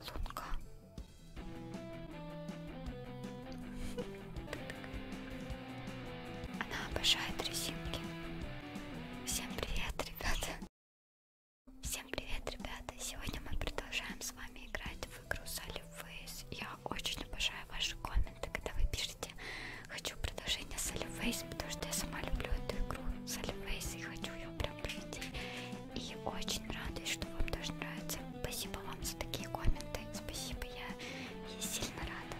Лунка. Она обожает резинки. Всем привет, ребята. Всем привет, ребята. Сегодня мы продолжаем с вами играть в игру Solidface. Я очень обожаю ваши комменты, когда вы пишете «Хочу продолжение Solidface», потому что я сама люблю эту игру Solidface и хочу ее прям пройти. И очень радуюсь, что вам тоже нравится. Спасибо вам за такие комменты. Спасибо, я, я сильно рада.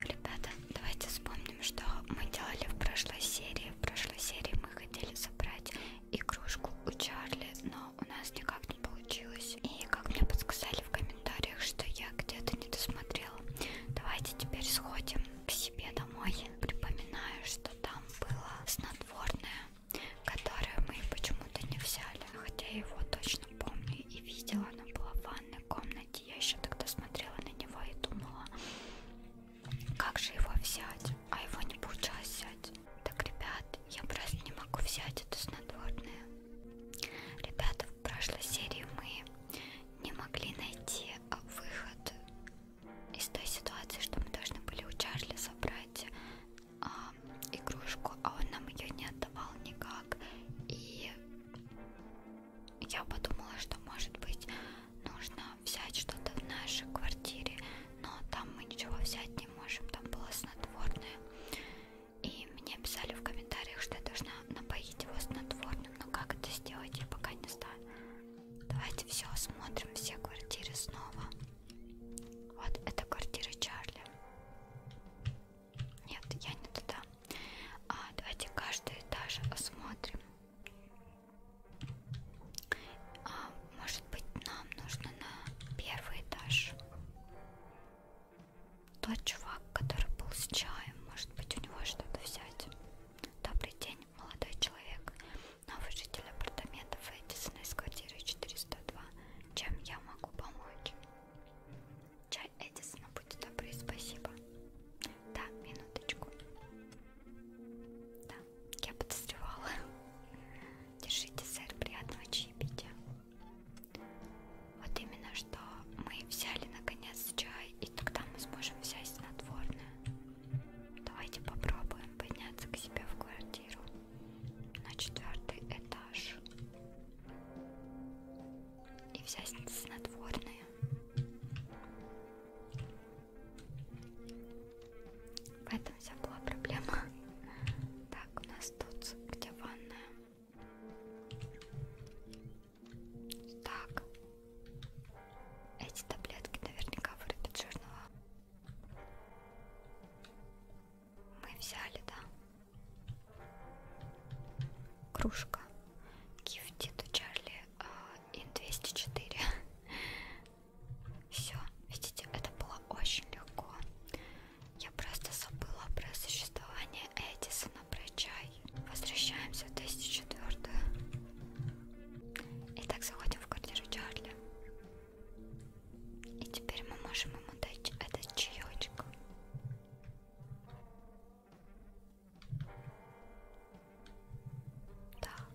Ребята, давайте вспомним, что мы делали в прошлой серии. В прошлой серии мы хотели собрать игрушку у Чарли, но у нас никак не получилось. И как мне подсказали в комментариях, что я где-то не досмотрела. Давайте теперь сходим к себе домой. Припоминаю, что там было снотворное, которое мы почему-то не взяли. Хотя я его точно помню и видела. Оно было в ванной комнате. Я еще тогда смотрела на него и думала, как же его взять. А его не получалось взять. Так, ребят, я просто не могу взять это снотворное. Ребята, в прошлой серии мы не могли найти а, выход из той ситуации, что мы должны были у Чарли собрать а, игрушку, а он нам ее не отдавал никак. И я подумала, что может быть нужно взять что-то в нашей квартире, но там мы ничего взять не можем, там было снотворное. И мне писали в комментариях, что я должна напоить его снотворным, но как это сделать, я пока не знаю. Давайте все осмотрим, все квартиры снова. Вот это квартира Чарли. Нет, я не туда. А, давайте каждый этаж осмотрим. А, может быть, нам нужно на первый этаж. Тот чувак, который был с чаем, может быть, у него что-то взять. Добрый день молодой человек, новый житель апартаментов Эдисона из квартиры 402. Чем я могу помочь? Чай Эдисона, будьте добры, спасибо. Да, минуточку. Да, я подозревала. Держите, сэр, приятного чаепития. Вот именно что мы взяли наконец чай, и тогда мы сможем взять снотворное. Давайте попробуем подняться к себе в квартиру на четвертый этаж и взять снотворное. В этом вся была проблема. Так, у нас тут где ванная. Так. Эти таблетки наверняка вырубят черного. Мы взяли, да? Кружка. Гифтит у Чарли Ин 204. Все, видите, это было очень легко. Я просто забыла про существование Эдисона ладно, прощай. Возвращаемся в 2004. Итак, заходим в квартиру Чарли. И теперь мы можем ему дать этот чаечек. Так.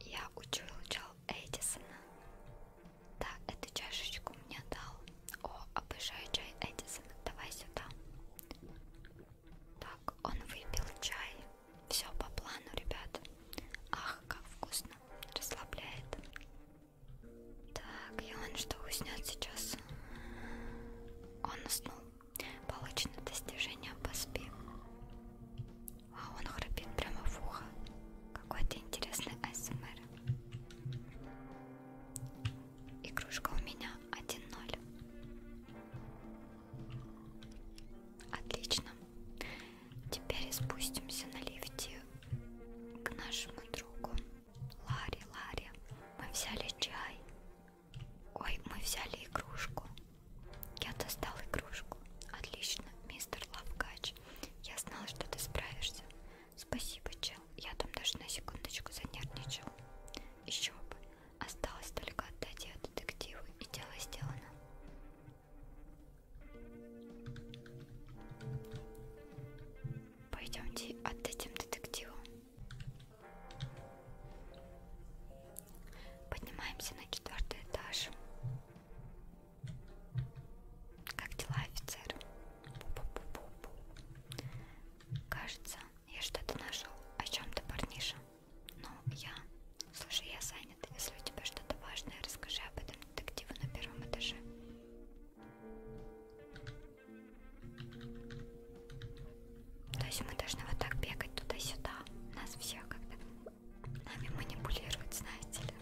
Я учил Джо Эдисона. Да, эту чашечку мне дал. О, обожаю чай Эдисон. Давай сюда. Так, он выпил чай. Все по плану, ребят. Ах, как вкусно. Расслабляет. Так, и он что, уснет сейчас? Он уснул. Получено достижение по спи. А он храпит прямо в ухо. Какой-то интересный АСМР. Игрушка у меня 1-0. Отлично. Теперь спустимся на лифте к нашему другу. Ларе, Ларе. Мы взяли чай. Ой, мы взяли игрушку. Я достал игрушку. Отлично, мистер Лавкач. Я знала, что ты справишься. Спасибо, чел. Я там даже на секундочку занервничал. Еще бы. Осталось только отдать ее детективу, и дело сделано. Пойдемте отдадим детективу. Поднимаемся на четвертый этаж. Как дела, офицер? Бу -бу -бу -бу. Кажется, я что-то нашел. О чем ты, парниша? Ну, я... Слушай, я занят. Если у тебя что-то важное, расскажи об этом детективу на первом этаже. То есть мы должны вот так бегать туда-сюда. Нас всех как-то нами манипулируют, знаете ли.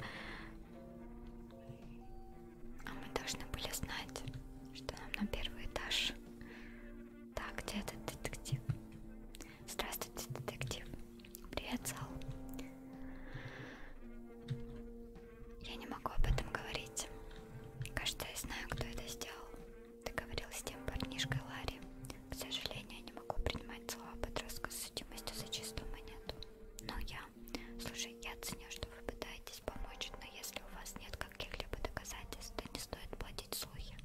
А мы должны были знать, что нам на первый этаж. Так, где этот детектив? Здравствуйте, детектив. Привет, Зал. Я не могу об этом говорить. Кажется, я знаю, кто это сделал. Ты говорил с тем парнишкой Ларри. К сожалению, я не могу принимать слова подростка с судимостью за чистую монету. Но я друзья. Слушай, я ценю, что вы пытаетесь помочь, но если у вас нет каких-либо доказательств, то не стоит платить слухи.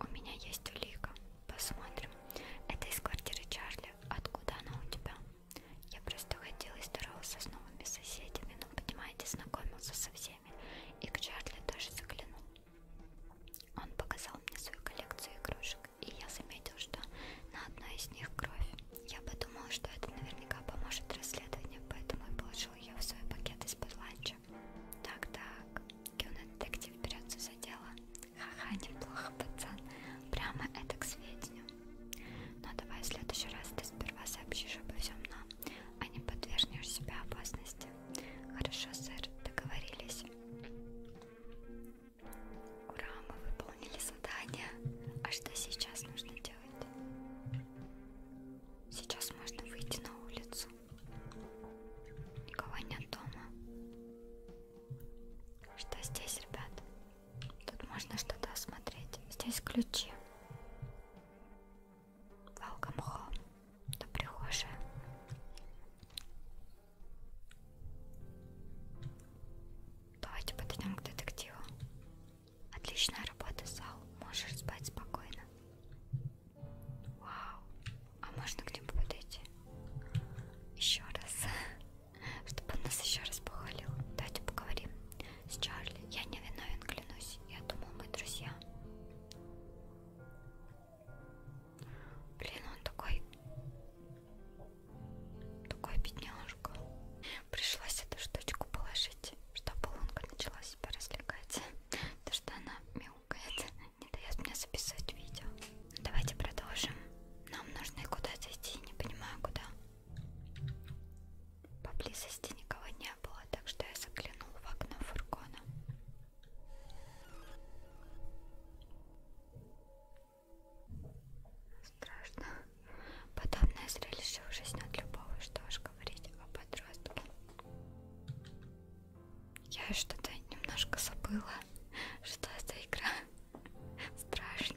У меня есть улика. Посмотрим. Это из квартиры Чарли. Откуда она у тебя? Я просто ходил и здоровался с новыми соседями, но, понимаете, знакомился со всеми. И к Чарли тоже заглянул. Он показал мне свою коллекцию игрушек и я заметил, что на одной из них кровь. Я подумал, что это наверняка поможет расследованию, поэтому и положил ее в свой пакет из-под ланча. Так-так, кинодетектив берется за дело. Ха-ха, неплохо, пацан. Прямо это к сведению. Но ну, давай в следующий раз ты сперва сообщишь обо всем нам, а не подвергнешь себя опасности. Хорошо, сэр, договорились. Ура, мы выполнили задание. А что сейчас нужно делать? Сейчас можно выйти на улицу. Никого нет дома. Что здесь, ребят? Тут можно что-то осмотреть. Здесь ключи. Welcome home. Это прихожая. Давайте подойдем к детективу. Отличная работа, Сал. Можешь спать спокойно. Вау. А можно к нему подойти? Еще раз. Чтобы он нас еще раз похвалил. Давайте поговорим с Чарли. Я не виновен, клянусь. Я думал, мы друзья. Блин, он такой... Такой бедняжка. Пришлось эту штучку положить, чтобы лунка начала себя развлекать. То, что она мяукает, не дает мне записывать видео. Давайте продолжим. Нам нужно куда-то идти, не понимаю куда. Поблизости никого не было, так что я заглянул в окно фургона. Страшно. Подобное зрелище ужаснет любого, что уж говорить о подростке. Я что-то немножко забыла, что это игра страшная.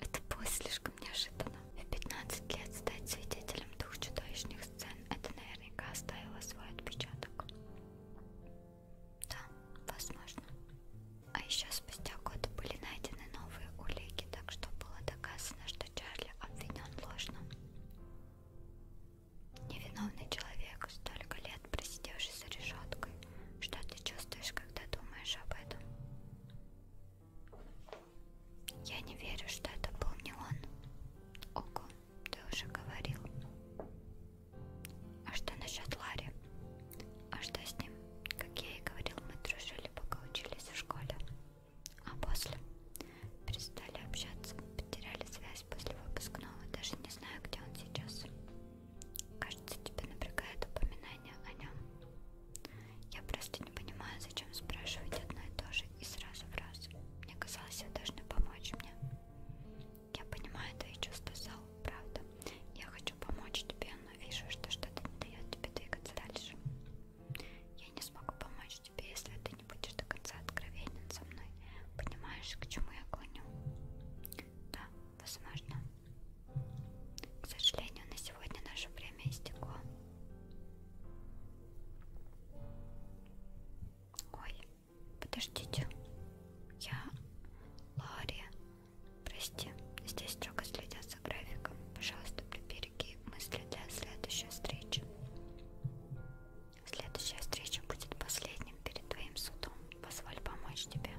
Это было слишком неожиданно. В 15 лет стать свидетелем двух чудовищных сцен это наверняка оставило свой отпечаток. Да, возможно. А еще спустя год были найдены новые улики, так что было доказано, что Чарли обвинен ложно. Невиновный человек, столько лет просидевший за решеткой. Что ты чувствуешь, когда думаешь об этом? Я не верю, что это был не он. Ого. Ты уже говорил. А что насчет Ларри? А что с ним? Как я и говорил, мы дружили, пока учились в школе. А после перестали общаться, потеряли связь после выпускного. Даже не знаю, где он сейчас. Кажется, тебя напрягает упоминание о нем. Я просто не понимаю, зачем спрашивать одно и то же и сразу в раз. Мне казалось, вы должны помочь мне. Я понимаю твои чувства, Сал, правда. Я хочу помочь тебе, но вижу, что что-то не дает тебе двигаться дальше. Я не смогу помочь тебе, если ты не будешь до конца откровенен со мной. Понимаешь, к чему я клоню? Да, возможно. К сожалению, на сегодня наше время истекло. Ой, подождите. Я Лария. Прости, здесь строго следят за графиком. Пожалуйста, прибереги мысли для следующей встречи. Следующая встреча будет последним перед твоим судом. Позволь помочь тебе.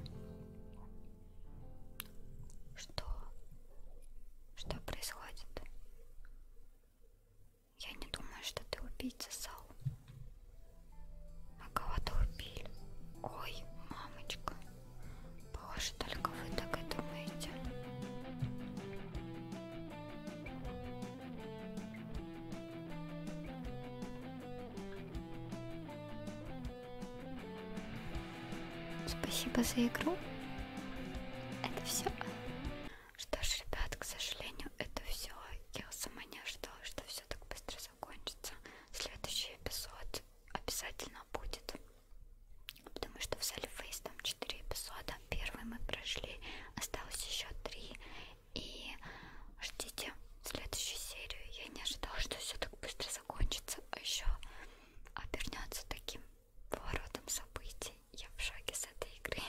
Что? Что происходит? Я не думаю, что ты убийца, Сал. А кого-то убили. Ой, мамочка. Боже, только вы так и думаете. Спасибо за игру. Это все. Что ж, ребят, к сожалению, это все. Я сама не ожидала, что все так быстро закончится. Следующий эпизод обязательно будет. Потому что в Сальфейс там 4 эпизода. Первый мы прошли, осталось еще 3. И ждите следующую серию. Я не ожидала, что все так быстро закончится, а еще обернется таким поворотом событий. Я в шаге с этой игры.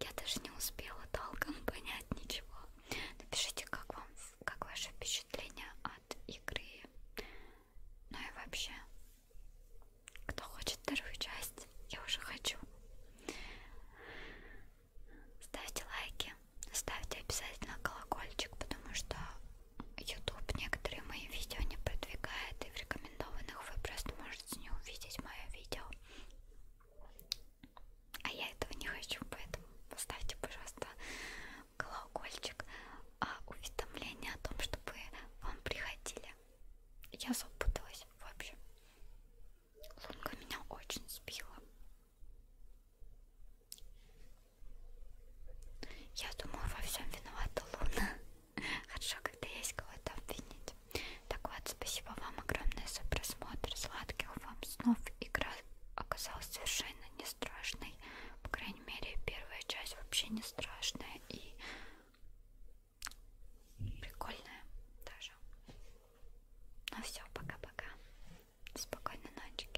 Я даже не успела толком понять ничего. Напишите, как вам, как ваше впечатление от игры. Ну и вообще, кто хочет вторую часть, я уже хочу. Ставьте лайки, ставьте обязательно колокольчик, потому что YouTube некоторые мои видео не продвигает, и в рекомендованных вы просто можете не увидеть мое видео. А я этого не хочу, поэтому поставьте, пожалуйста, колокольчик, а уведомление о том, чтобы вам приходили. Я запуталась, в общем. Лунка меня очень сбила. Я думаю, во всем виновата Луна. Хорошо, когда есть кого-то обвинить. Так вот, спасибо вам огромное за просмотр. Сладких вам снов. Игра оказалась совершенно не страшной. По крайней мере, первая часть вообще не страшная и прикольная даже. Ну все, пока-пока. Спокойной ночи.